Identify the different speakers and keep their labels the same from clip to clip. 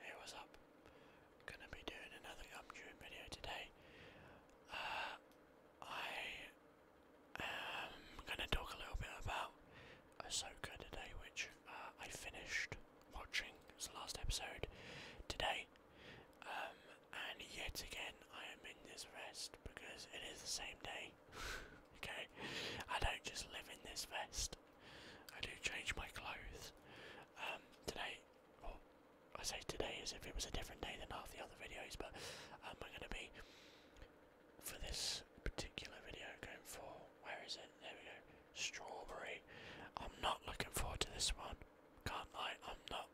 Speaker 1: Hey, what's up? I'm gonna be doing another Gumdream video today. Uh, I am gonna talk a little bit about Ahsoka today, which uh, I finished watching. It's the last episode today. Um, and yet again, I am in this vest because it is the same day. okay, I don't just live in this vest. I do change my clothes. Um, today, well, I say today as if it was a different day than half the other videos, but I'm going to be, for this particular video, going for, where is it? There we go, strawberry. I'm not looking forward to this one. Can't lie, I'm not.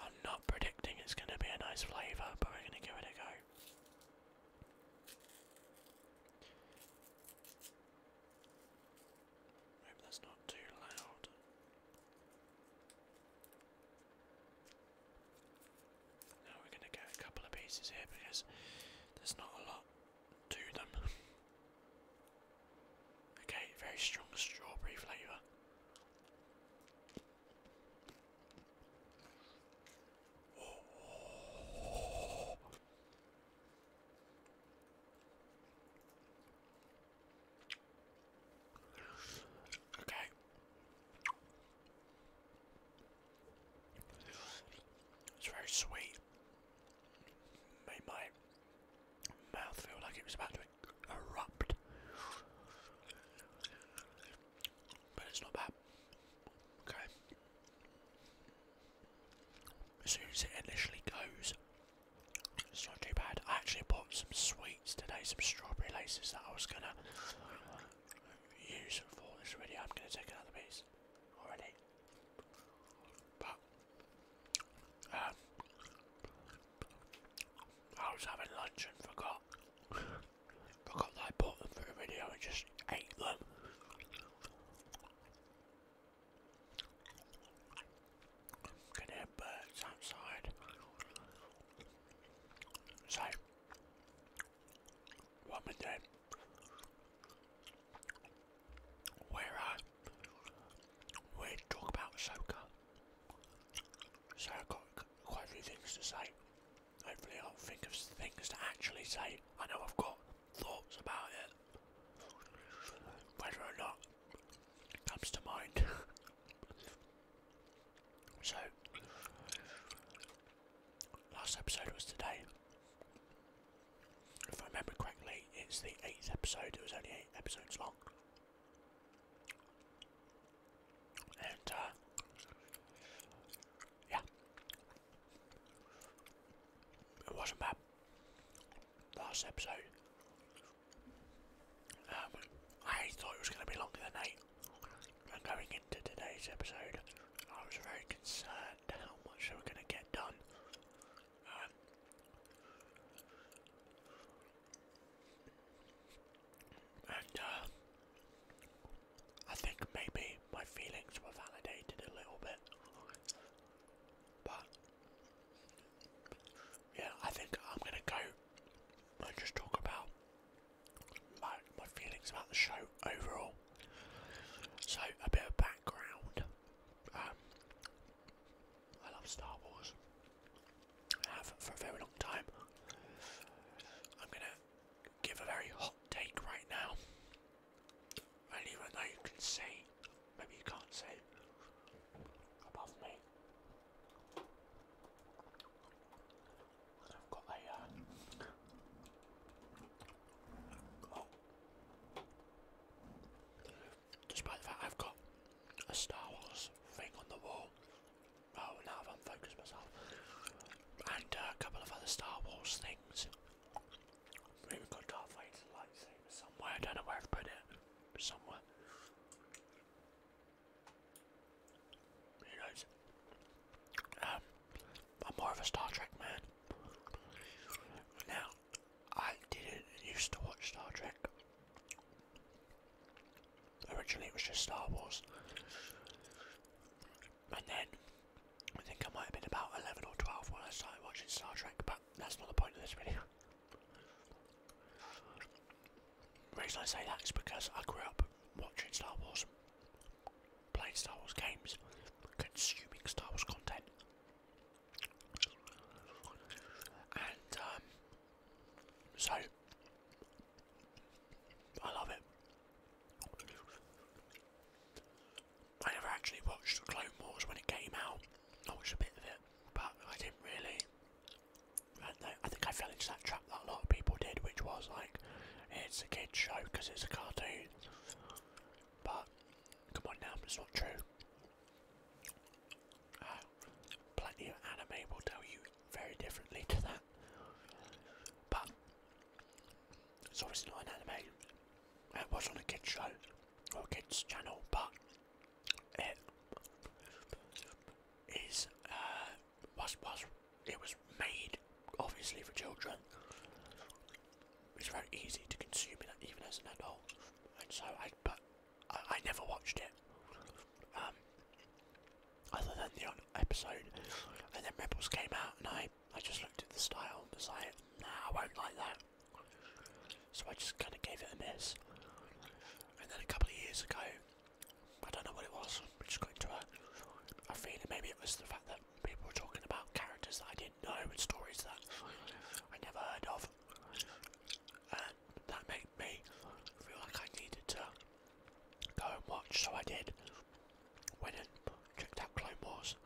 Speaker 1: I'm not predicting it's going to be a nice flavour, but we're going to give it a go. Hope that's not too loud. Now we're gonna get a couple of pieces here because there's not a lot to them. okay, very strong strawberry flavour. Okay. It's very sweet. Made my mouth feel like it was about to erupt. But it's not bad. Okay. As soon as it initially goes, it's not too bad. I actually bought some sweets today, some strawberry laces that I was gonna use for this video. I'm gonna take another piece already. But um, I was having lunch and forgot forgot that I bought them for a video and just ate them. Can hear birds outside. So, what am I Where I we talk about soccer. So I've got quite a few things to say. Hopefully, I'll think of things to actually say. I know I've got thoughts about it. Whether or not it comes to mind. so, last episode was today. If I remember correctly, it's the eighth episode. It was only eight episodes long. And, uh, yeah. It wasn't bad. Last episode. Um, I thought it was going to be longer than eight. And going into today's episode, I was very concerned how much they were going to get done. Um, and uh, I think maybe my feelings were validated a little bit. But yeah, I think I'm gonna go and just talk about my feelings about the show overall. So a bit of background. Um, I love Star Wars. I have for a very long time. I'm gonna give a very hot take right now. And even though you can see, maybe you can't see, above me, I've got a, uh, oh. despite the fact I've got a Star Wars thing on the wall, oh, now I've unfocused myself, and a couple of other Star Wars things We've got Darth Vader's lightsaber somewhere. I don't know where I've put it. But somewhere. Who knows? Um, I'm more of a Star Trek man. Now, I didn't used to watch Star Trek. Originally, it was just Star Wars. And then I think I might have been about 11 or 12 when I started watching Star Trek, but that's not the point of this video. The reason I say that is because I grew up watching Star Wars, playing Star Wars games, consuming Star Wars content. And um, so, I love it. I never actually watched Clone Wars when it came out. I watched a bit of it, but I didn't really. I think I fell into that trap that a lot of people did, which was like, it's a kid show because it's a cartoon. But, come on now, it's not true. Uh, plenty of anime will tell you very differently to that. But, it's obviously not an anime. Uh, it was on a kids show or a kids channel, but it is uh, was was it was made obviously for children. It's very easy to consume it even as an adult, and so I but I, I never watched it. Um, other than the episode, and then Rebels came out, and I I, just looked at the style and was like, nah, I won't like that. So I just kind of gave it a miss. And then a couple of years ago, I don't know what it was, we just got to a, a feeling. Maybe it was the fact that people were talking about characters that I didn't know and stories that I never heard of. And that made me feel like I needed to go and watch, so I did went in, checked out Clone Wars,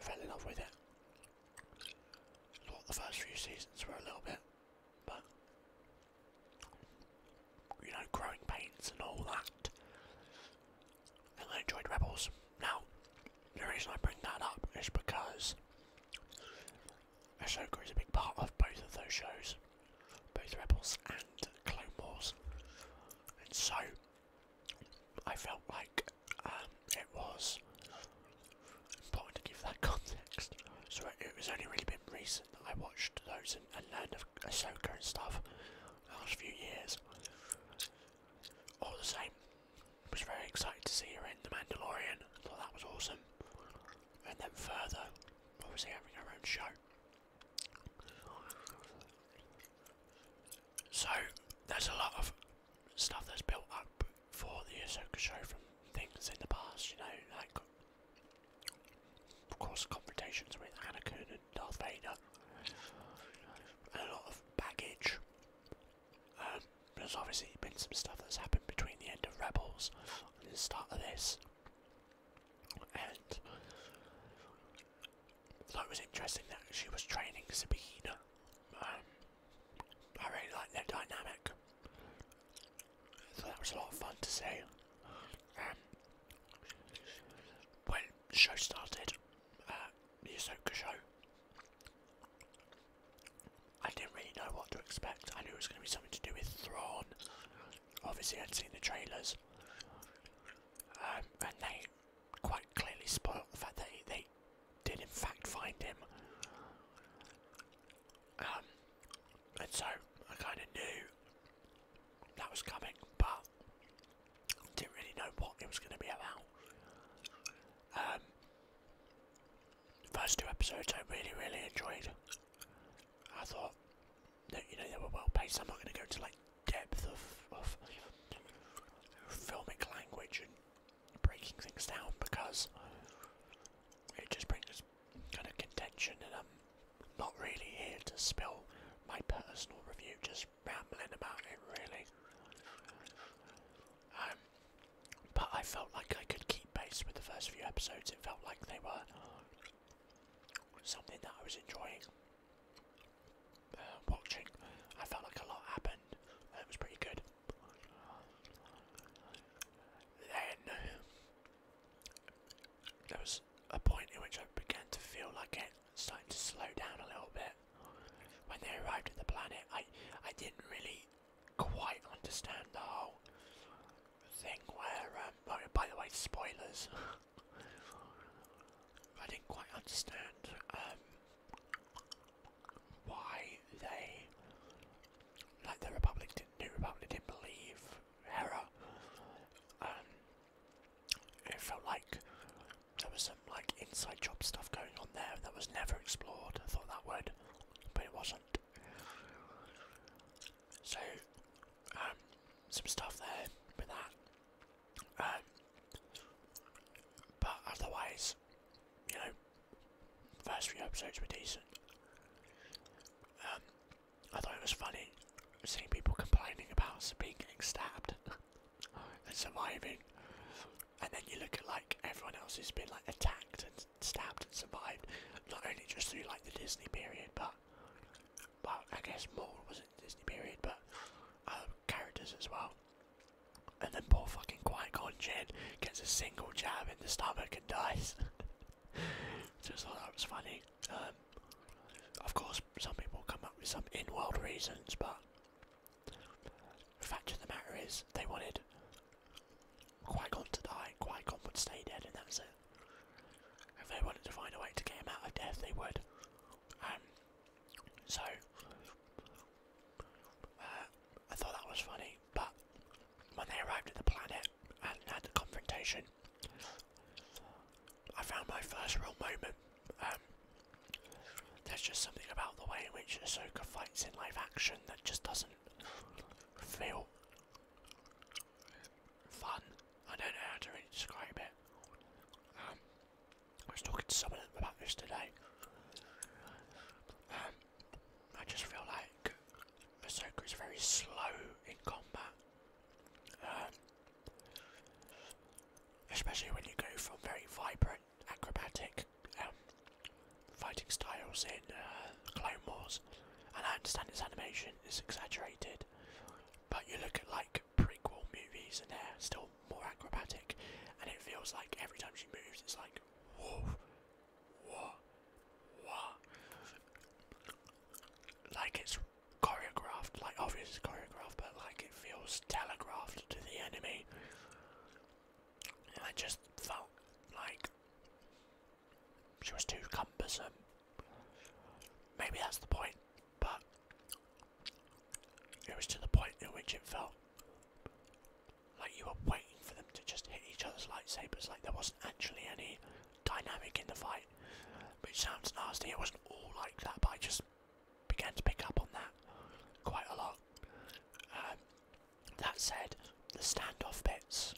Speaker 1: fell in love with it. Thought the first few seasons were a little bit, but you know, growing pains and all that. And I enjoyed Rebels. Now, the reason I bring that up is because Ahsoka is a big part of both of those shows, both Rebels and Clone Wars. And so, I felt like um, it was important to give that context. So it, it was only really been recent that I watched those and, learned of Ahsoka and stuff the last few years. All the same, I was very excited to see her in The Mandalorian. I thought that was awesome. And then further, obviously having her own show. So there's a lot of stuff that's built up for the Ahsoka show from things in the past, you know, like of course confrontations with Anakin and Darth Vader, a lot of baggage. Um, there's obviously been some stuff that's happened between the end of Rebels and the start of this, and thought it was interesting that she was training speed. Um, I really like that dynamic. Thought that was a lot of fun to see. Um, when the show started, uh, the Ahsoka show, I didn't really know what to expect. I knew it was going to be something to do with Thrawn. Obviously, I'd seen the trailers, um, and they quite clearly spot out the fact that they did in fact find him. Um, and so I kind of knew that was coming, but didn't really know what it was going to be about. Um, the first two episodes I really, really enjoyed. I thought that you know they were well paced. I'm not going to go to like depth of, of filmic language and breaking things down because it just brings kind of contention and I'm not really here to spill my personal review, just rambling about it really. Um, but I felt like I could keep pace with the first few episodes, it felt like they were something that I was enjoying. Uh, watching. I felt like a lot happened. That uh, was pretty good. Then there was a point in which I began to feel like it started to slow down a little bit. When they arrived at the planet, I I didn't really quite understand the whole thing where. Um, oh, by, the way, spoilers. I didn't quite understand um, why they, like the Republic, didn't, New Republic didn't believe Hera. Um, it felt like there was some like inside job stuff going on there that was never explored. I thought that would, but it wasn't. So, um, some stuff there with that. Um, but otherwise, you know, first few episodes were decent. Um, I thought it was funny seeing people complaining about being getting stabbed and surviving, and then you look at like everyone else who's been like attacked and stabbed and survived, not only just through like the Disney period, but well, I guess more wasn't Disney period, but other um, characters as well. And then poor fucking Qui Gon gets a single jab in the stomach and dies. Just thought that was funny. Um, of course, some people come up with some in-world reasons, but the fact of the matter is, they wanted Qui to die. Qui would stay dead, and that was it. If they wanted to find a way to get him out of death, they would. Um, so, uh, I thought that was funny, but when they arrived at the planet and had the confrontation, I found my first real moment. Um, there's just something about the way in which Ahsoka fights in live action that just doesn't feel fun. I don't know how to really describe it. Um, I was talking to someone about this today. Um, I just feel like Ahsoka is very slow in combat. Um, especially when you go from very vibrant, acrobatic um, fighting styles in uh, Clone Wars. And I understand its animation is exaggerated, but you look at like prequel movies and they're still more acrobatic, and it feels like every time she moves, it's like, whoa, whoa, whoa. Like it's choreographed, like obviously it's choreographed, but like it feels telegraphed to the enemy. And I just felt like she was too cumbersome. Maybe that's the point, but it was to the point in which it felt like you were waiting for them to just hit each other's lightsabers, like there wasn't actually any dynamic in the fight. Which sounds nasty, it wasn't all like that, but I just began to pick up on that quite a lot. Um, that said, the standoff bits,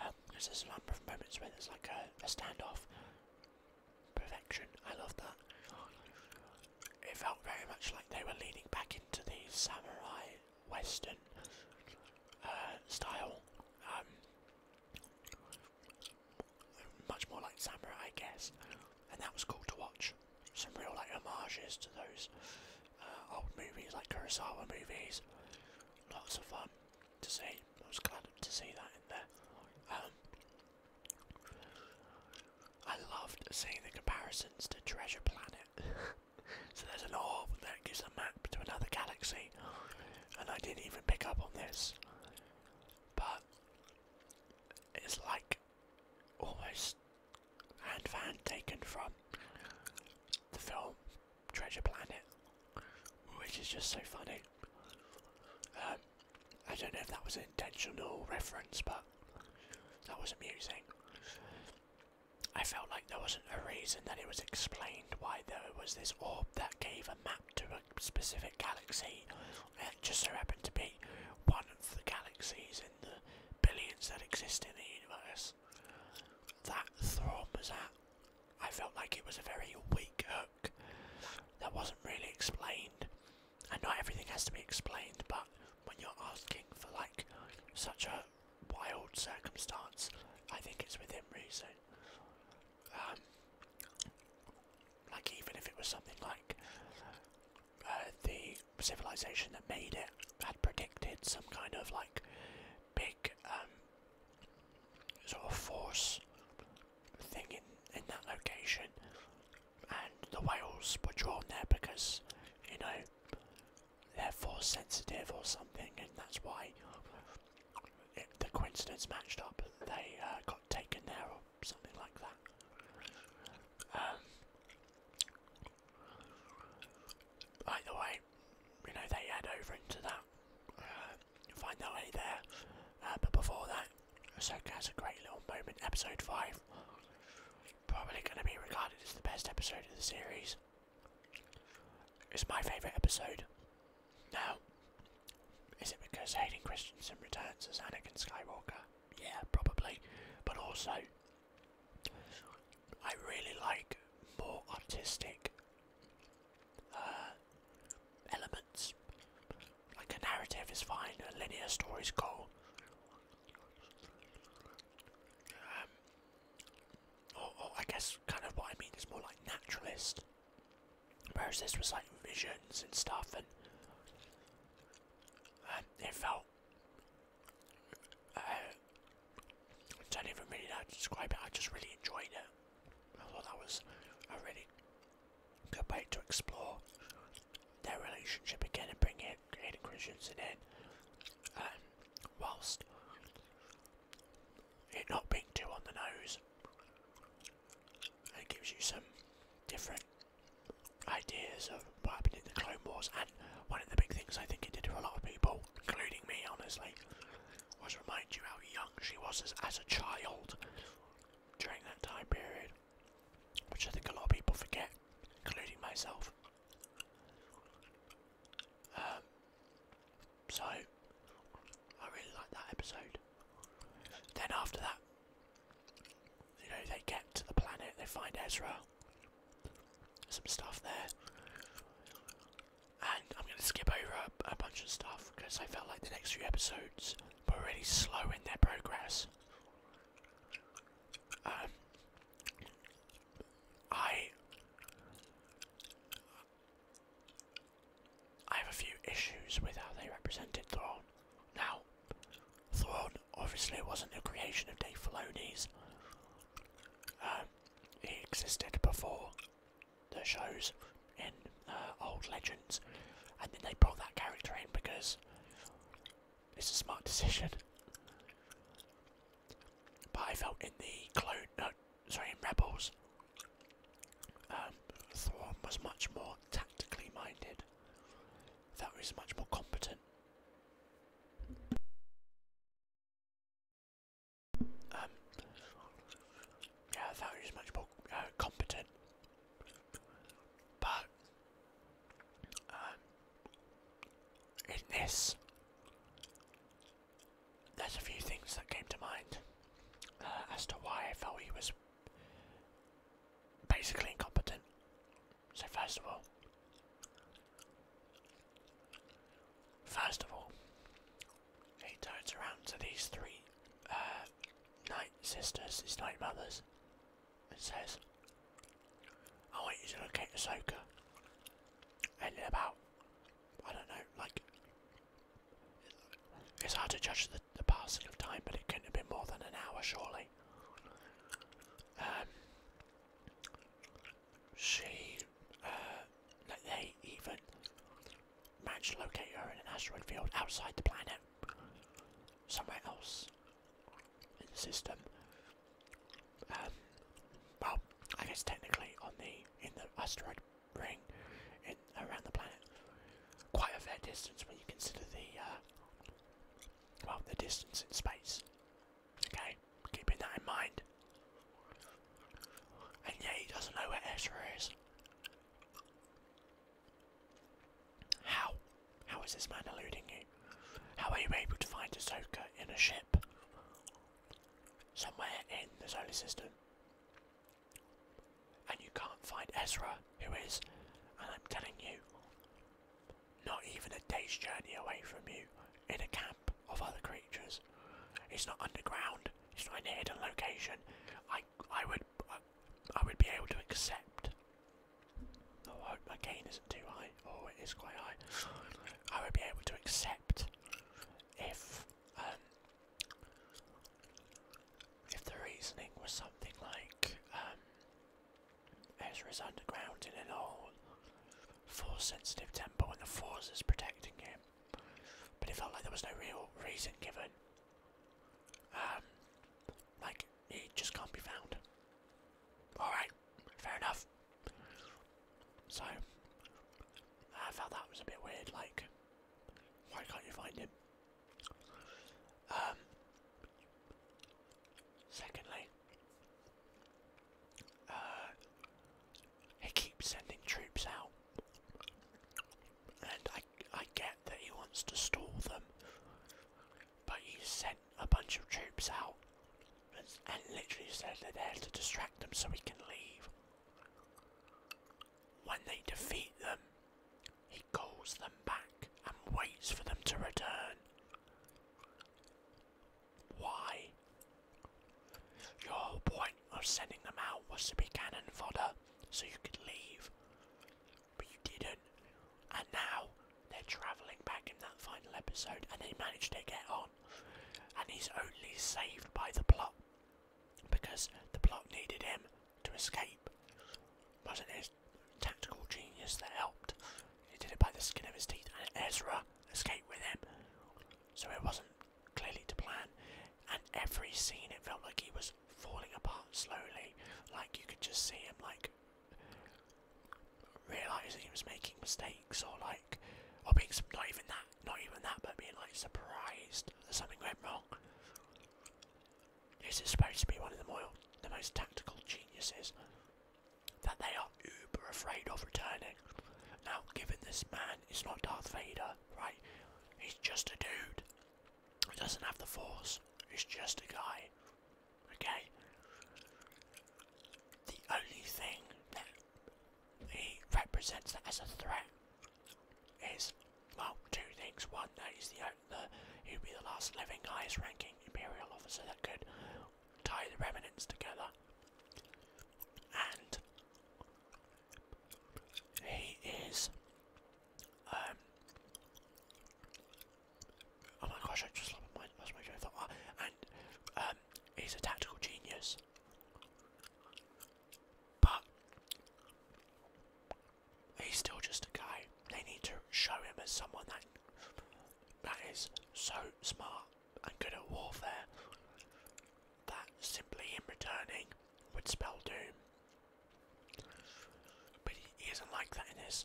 Speaker 1: um, there's a number of moments where there's like a standoff, perfection, I love that it felt very much like they were leaning back into the samurai western uh, style. Um, much more like samurai, I guess, and that was cool to watch. Some real like homages to those uh, old movies, like Kurosawa movies. Lots of fun to see. I was glad to see that in there. Um, I loved seeing the comparisons to Treasure Planet. so there's an orb that gives a map to another galaxy, and I didn't even pick up on this. But it's like almost hand for hand taken from the film Treasure Planet, which is just so funny. Um, I don't know if that was an intentional reference, but that was amusing. I felt like there wasn't a reason that it was explained why there was this orb that gave a map to a specific galaxy. and just so happened to be one of the galaxies in the billions that exist in the universe. That Thrawn was at. I felt like it was a very weak hook that wasn't really explained and not everything has to be explained, but when you're asking for like such a wild circumstance, I think it's within reason. Um, like even if it was something like uh, the civilization that made it had predicted some kind of like big um, sort of force thing in in that location, and the whales were drawn there because, you know, they're force sensitive or something, and that's why the coincidence matched up. They uh, got taken there or something like that. Um, either way, you know, they head over into that, uh, find their way there. Uh, but before that, Ahsoka has a great little moment, episode 5 probably going to be regarded as the best episode of the series. It's my favourite episode. Now, is it because Hayden Christensen returns as Anakin Skywalker? Yeah, probably. But also, I really like more artistic uh, elements. Like a narrative is fine, a linear story is cool. Um, I guess kind of what I mean is more like naturalist, whereas this was like visions and stuff, and um, it felt. Uh, I don't even really know how to describe it. I just really enjoyed it. I thought that was a really good way to explore their relationship again and bring it had in, um, whilst it not being too on the nose, it gives you some different ideas of what happened in the Clone Wars. And one of the big things I think it did for a lot of people, including me, honestly, was remind you how young she was as a child during that time period which I think a lot of people forget, including myself. Um, so, I really like that episode. Then after that, you know, they get to the planet, they find Ezra, some stuff there. And I'm going to skip over a bunch of stuff because I felt like the next few episodes were really slow in their progress. I have a few issues with how they represented Thrawn. Now, Thrawn obviously wasn't the creation of Dave Filoni's. Um, he existed before the shows in uh, old legends, and then they brought that character in because it's a smart decision. But I felt in the clone, no, sorry, Rebels, um, Thrawn was much more tactically minded. That was much more competent. Um, yeah, that was much more uh, competent. But uh, in this, there's a few things that came to mind uh, as to why I felt he was basically incompetent. So first of all, first of all, he turns around to these three uh, night sisters, these night mothers, and says, I want you to locate Ahsoka. And in about, I don't know, like, it's hard to judge the, the passing of time, but it couldn't have been more than an hour, surely. Um, she, uh, they even managed to locate her in an asteroid field outside the planet, somewhere else in the system, um, well, I guess technically on the in the asteroid ring, around the planet, quite a fair distance when you consider the uh, well the distance in space. Okay, keeping that in mind. And yeah, he doesn't know where Ezra is. How? How is this man eluding you? How are you able to find Ahsoka in a ship? Somewhere in the solar system. And you can't find Ezra, who is, and I'm telling you, not even a day's journey away from you, in a camp of other creatures. It's not underground, it's not in a hidden location. I, I would, I would be able to accept Oh, I hope my cane isn't too high. Oh, it is quite high. I won't be able to accept if um, if the reasoning was something like um, Ezra's underground in an old force-sensitive temple and the force is protecting him. But it felt like there was no real reason given. Um, like, it just can't be found. Alright, fair enough. So, I felt that was a bit weird, like, why can't you find him? Um, secondly, uh, he keeps sending troops out, and I, I get that he wants to stall them, but he sent a bunch of troops out and, literally said they're there to distract them so we can leave. When they defeat them, he calls them back and waits for them to return. Why? Your point of sending them out was to be cannon fodder so you could leave. But you didn't and now they're travelling back in that final episode and they managed to get on. And he's only saved by the plot because the plot needed him to escape. wasn't his tactical genius that helped. He did it by the skin of his teeth and Ezra escaped with him. So it wasn't clearly to plan. And every scene it felt like he was falling apart slowly. Like you could just see him like realising he was making mistakes or like or being not even that not even that but being like surprised that something went wrong. This is supposed to be one of the most tactical geniuses that they are uber afraid of returning. Now given this man is not Darth Vader, right? He's just a dude. He doesn't have the force. He's just a guy. Okay? The only thing that he represents as a threat is, well, two things. One, that he's the, he'd be the last living highest ranking Imperial officer that could tie the remnants together. And he is um, Oh my gosh, I just lost my lost ah, And um, he's a tactical genius, but he's still just a guy. They need to show him as someone that that is so smart and good at warfare that simply him returning would spell doom. But he, isn't like that in this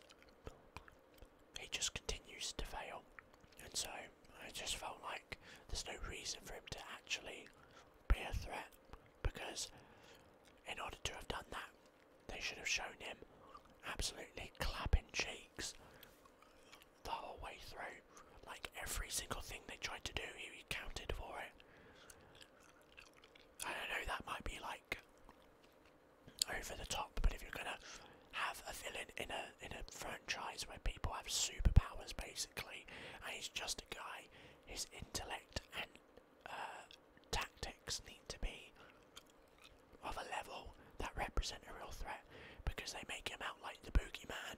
Speaker 1: he just continues to fail. And so I just felt like there's no reason for him to actually be a threat because in order to have done that, they should have shown him absolutely clapping cheeks the whole way through. Like every single thing they tried to do, he counted for it. I don't know, that might be like over the top. But if you're gonna have a villain in a in a franchise where people have superpowers basically, and he's just a guy, his intellect and uh, tactics need to be of a level that represent a real threat because they make him out like the boogeyman.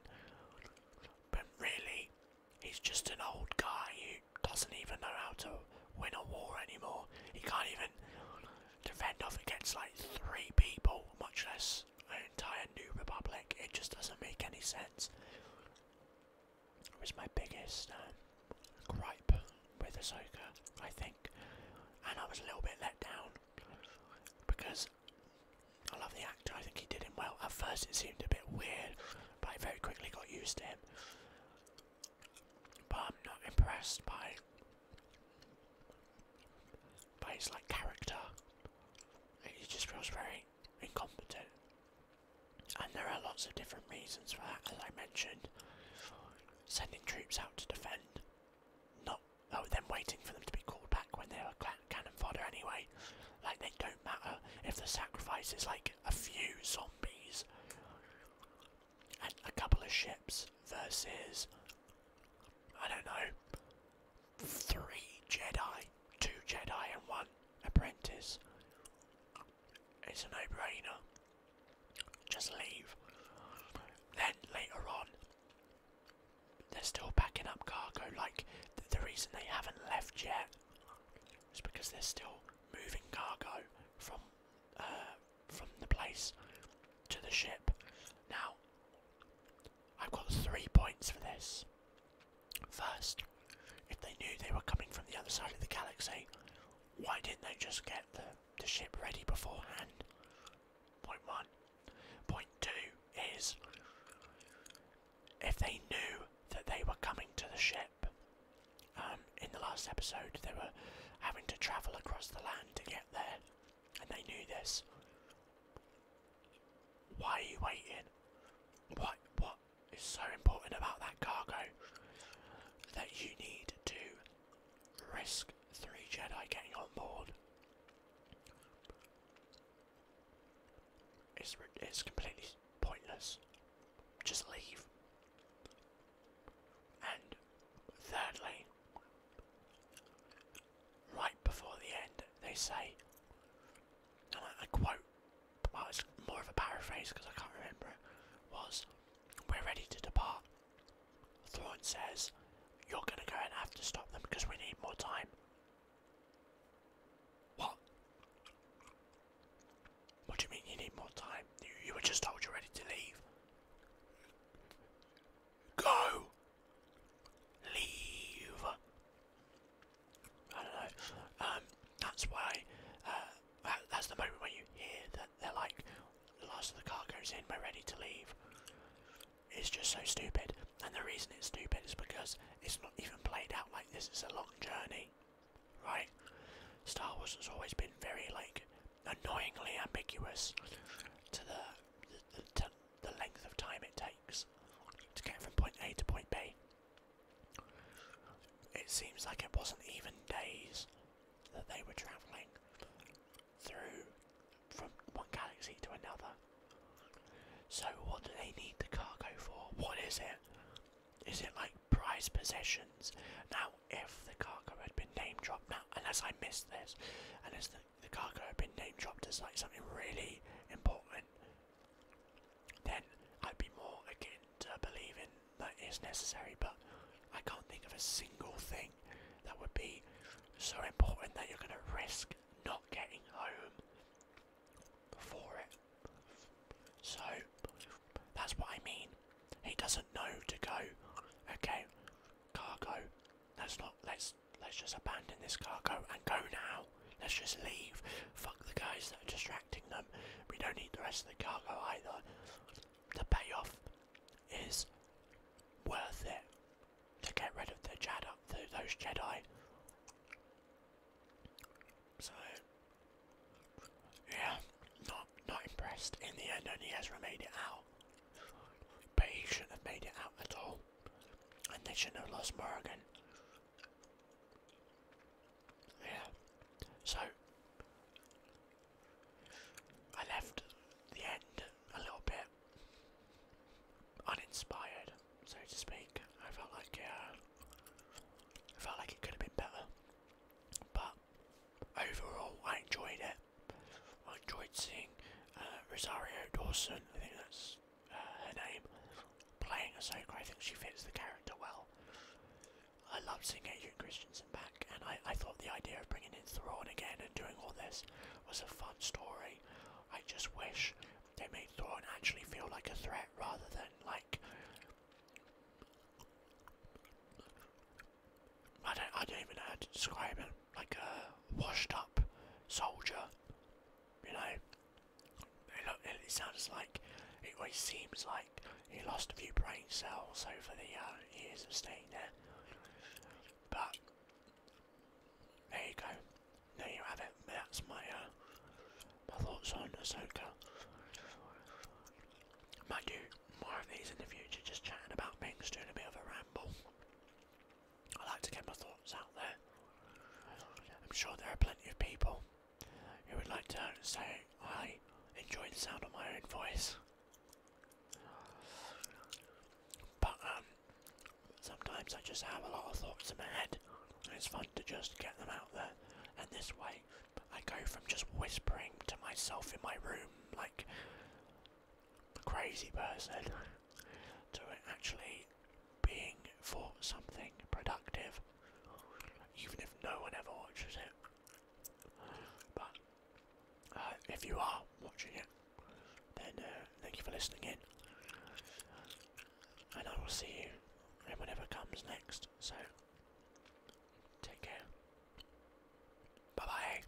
Speaker 1: But really, he's just an old guy who doesn't even know how to win a war anymore. He can't even Defend off against like three people, much less an entire New Republic. It just doesn't make any sense. It was my biggest um, gripe with Ahsoka, I think, and I was a little bit let down because I love the actor. I think he did him well. At first, it seemed a bit weird, but I very quickly got used to him. But I'm not impressed by but it's like character. It just feels very incompetent. And there are lots of different reasons for that, as I mentioned. Sending troops out to defend, not oh, then waiting for them to be called back when they are cannon fodder anyway. Like they don't matter if the sacrifice is like a few zombies and a couple of ships versus I don't know three Jedi, two Jedi and one apprentice. It's a no-brainer. Just leave. Then later on, they're still packing up cargo. Like the reason they haven't left yet is because they're still moving cargo from uh, from the place to the ship. Now, I've got three points for this. First, if they knew they were coming from the other side of the galaxy, why didn't they just get the, ship ready beforehand? Point one. Point two is if they knew that they were coming to the ship, um, in the last episode they were having to travel across the land to get there and they knew this. Why are you waiting? What what is so important about that cargo that you need to risk three Jedi getting on board? It's it's completely pointless. Just leave. And thirdly, right before the end, they say, and I, quote, well, it's more of a paraphrase because I can't remember it, was, We're ready to depart. Thrawn says, You're going to go and have to stop them because we need more time. What? What do you mean you need more time? you were just told you're ready to leave. Go. Leave. Um, that's why. Uh, that's the moment when you hear that they're like, the last of the car goes in, we're ready to leave. It's just so stupid. And the reason it's stupid is because it's not even played out like this. It's a long journey, right? Star Wars has always been very like annoyingly ambiguous to the the, length of time it takes to get from point A to point B. It seems like it wasn't even days that they were travelling through from one galaxy to another. So what do they need the cargo for? What is it? Is it like prized possessions? Now if the cargo had been name dropped now unless I missed this unless the the cargo had been name dropped as like something really important, then I'd be more akin to uh, believing that it's necessary. But I can't think of a single thing that would be so important that you're going to risk not getting home for it. So that's what I mean. He doesn't know to go. Okay, cargo. Let's not. Let's let's just abandon this cargo and go now. Let's just leave. Fuck the guys that are distracting them. We don't need the rest of the cargo either. The payoff is worth it to get rid of the Jedi, those Jedi. So yeah, not not impressed. In the end, only Ezra made out. But he shouldn't have made it out at all. And they shouldn't have lost Morgan. Yeah. So I left the end a little bit uninspired, so to speak. I felt like uh, I felt like it could have been better, but overall I enjoyed it. I enjoyed seeing uh, Rosario Dawson, I think that's uh, her name, playing Ahsoka. I think she fits the character well. I loved seeing Adrian Christensen back, and I, I thought the idea of bringing in Thrawn again and doing all this was a fun story. I just wish they made Thrawn actually feel like a threat rather than like I don't, I don't even know how to describe him. Like a washed up soldier, you know. It, sounds like, it always seems like he lost a few brain cells over the uh, years of staying there. But, there you go. There you have it. That's my, uh, my thoughts on Ahsoka. Might do more of these in the future, just chatting about things, doing a bit of a ramble. I like to get my thoughts out there. I'm sure there are plenty of people who would like to say I enjoy the sound of my own voice. But um, sometimes I just have a lot of thoughts in my head, and it's fun to just get them out there. And this way, I go from just whispering to myself in my room, like the crazy person to actually being for something productive, even if no one ever watches it. But uh, if you are watching it, then uh, thank you for listening in. And I will see you whenever comes next. So, take care. Bye bye.